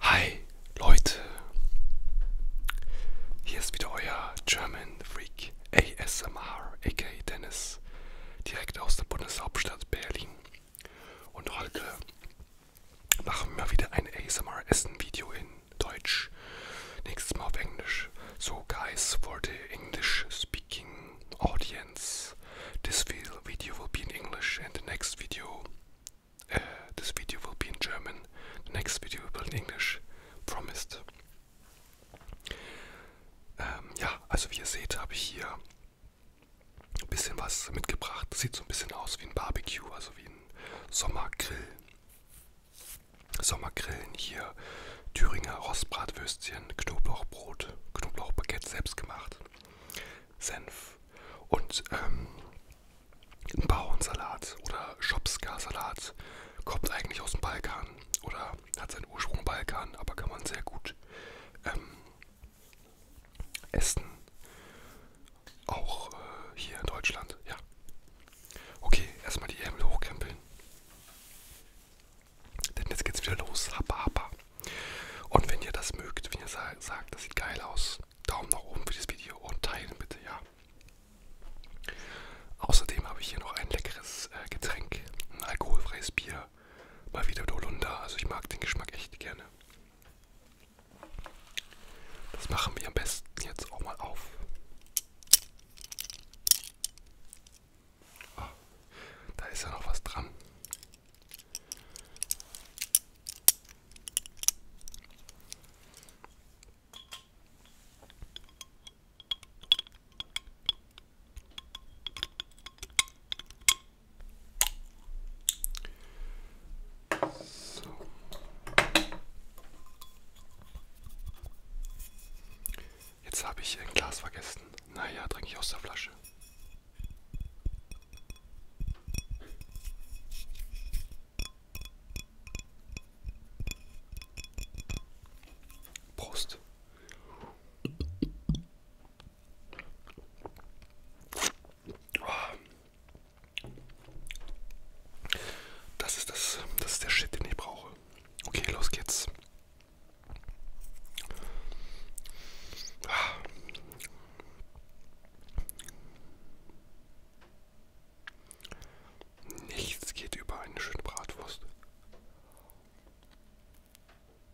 Hi Leute, hier ist wieder euer German Freak ASMR, aka Dennis. Podcasts direkt aus der Bundeshauptstadt Berlin. Und heute machen wir wieder ein ASMR-Essen-Video in Deutsch. Nächstes Mal auf Englisch. So, guys, for the English-speaking audience, this video will be in English and the next video, uh, this video will be in German. The next video will be in English. Promised. Ähm, ja, also wie ihr seht, habe ich hier ein bisschen was mitgebracht. Sieht so ein bisschen aus wie ein Barbecue, also wie ein Sommergrill. Sommergrillen hier, Thüringer Rostbratwürstchen, Knoblauchbrot, Knoblauchbaguette selbst gemacht, Senf und ähm, ein Bauernsalat oder Schopska-Salat kommt eigentlich aus dem Balkan oder hat seinen Ursprung Balkan, aber kann man sehr gut ähm, essen. Auch äh, hier in Deutschland, ja. Okay, erstmal die Ärmel hochkrempeln. Denn jetzt geht's wieder los. Happa, happa. Und wenn ihr das mögt, wenn ihr sagt, das sieht geil aus, Daumen nach oben für dieses Video und teilen bitte, ja. Außerdem habe ich hier noch ein leckeres äh, Getränk, ein alkoholfreies Bier hier mal wieder Holunder. Also ich mag den Geschmack echt gerne. Das machen wir am besten jetzt auch mal auf. Oh, da ist ja noch was dran. So. Jetzt habe ich ein Glas vergessen. Naja, trinke ich aus der Flasche. Prost. Oh. Das ist das, das ist der Shit, den ich brauche. Okay, los geht's. Nichts geht über eine schöne Bratwurst.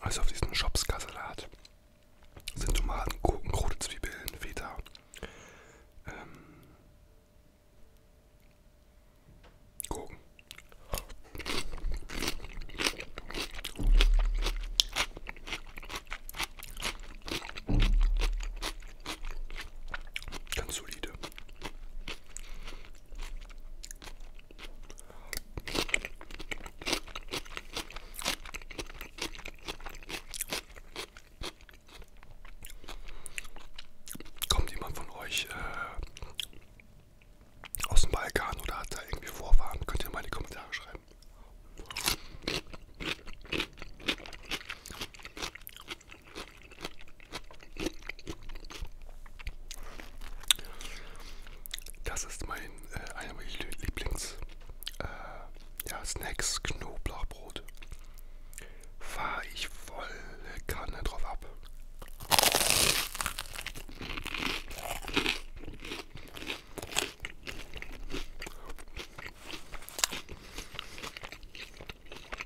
Also auf diesem Schopskasalat sind Tomaten, Gurken, rote Zwiebeln, Feta. Ähm, Gurken. Ganz solide. Kommt jemand von euch äh, aus dem Balkan oder hat da irgendwie Vorfahren? Könnt ihr mal in die Kommentare schreiben. Das ist mein, äh, einer meiner Lieblings äh, ja, Snacks, Knoblauchbrot. Fahre ich volle Kanne drauf ab.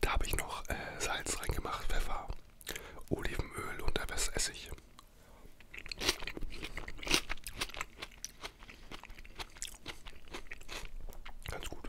Da habe ich noch äh, Salz reingemacht, Pfeffer, Olivenöl und etwas Essig. Ganz gut.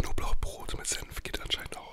Knoblauchbrot mit Senf geht anscheinend auch.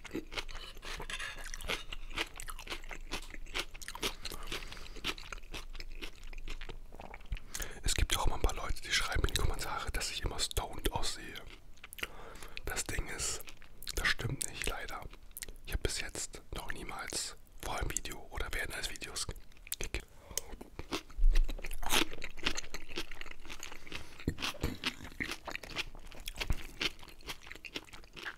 Es gibt auch immer ein paar Leute, die schreiben in die Kommentare, dass ich immer stoned aussehe. Das Ding ist, das stimmt nicht leider. Ich habe bis jetzt noch niemals vor einem Video oder während eines Videos gekippt.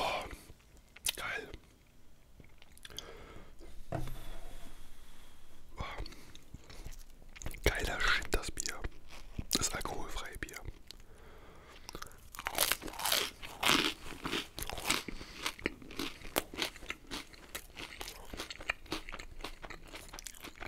Oh, geil. Oh, geiler Shit, das Bier. Das alkoholfreie Bier.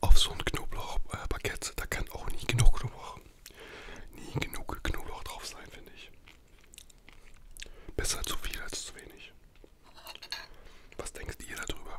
Auf so ein Knoblauchbaguette, äh, da kann auch nie genug Knoblauch, nie genug Knoblauch drauf sein, finde ich. Besser zu viel als zu wenig. Was denkt ihr darüber?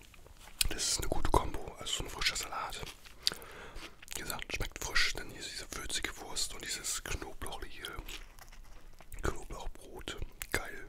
Das ist eine gute Kombo, also so ein frischer Salat. Wie gesagt, schmeckt frisch, denn hier ist diese würzige Wurst und dieses knoblauchliche Knoblauchbrot. Geil.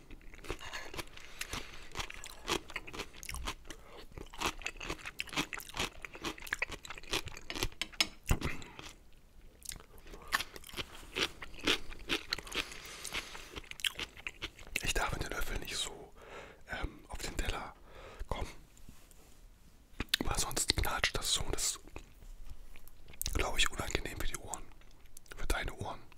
Ich darf mit den Löffel nicht so ähm, auf den Teller kommen, weil sonst knatscht das so und das ist, glaube ich, unangenehm für die Ohren, für deine Ohren.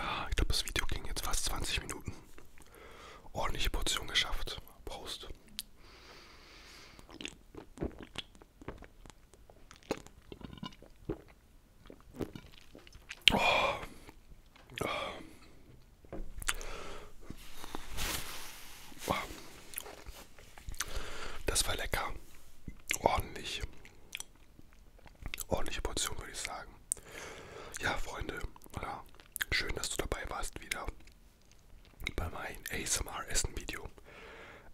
Ah, ich glaube, das Video ging jetzt fast 20 Minuten. Ordentliche Portion geschafft. Prost. Oh. Oh. Oh. Das war lecker. Ordentlich. Ordentliche Portion, würde ich sagen. Ja, Freunde, ja, schön, dass du dabei warst wieder bei meinem ASMR-Essen-Video.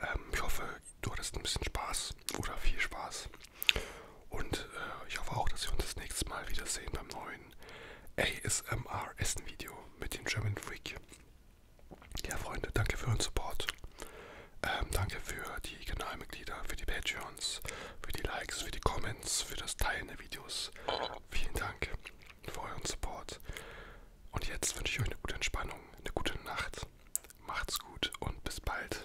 Ähm, ich hoffe, du hattest ein bisschen Spaß oder viel Spaß. Und äh, ich hoffe auch, dass wir uns das nächste Mal wiedersehen beim neuen ASMR-Essen-Video mit dem German Freak. Ja, Freunde, danke für euren Support. Ähm, danke für die Kanalmitglieder, für die Patreons, für die Likes, für die Comments, für das Teilen der Videos. Vielen Dank für euren Support. Und jetzt wünsche ich euch eine gute Entspannung, eine gute Nacht. Macht's gut und bis bald.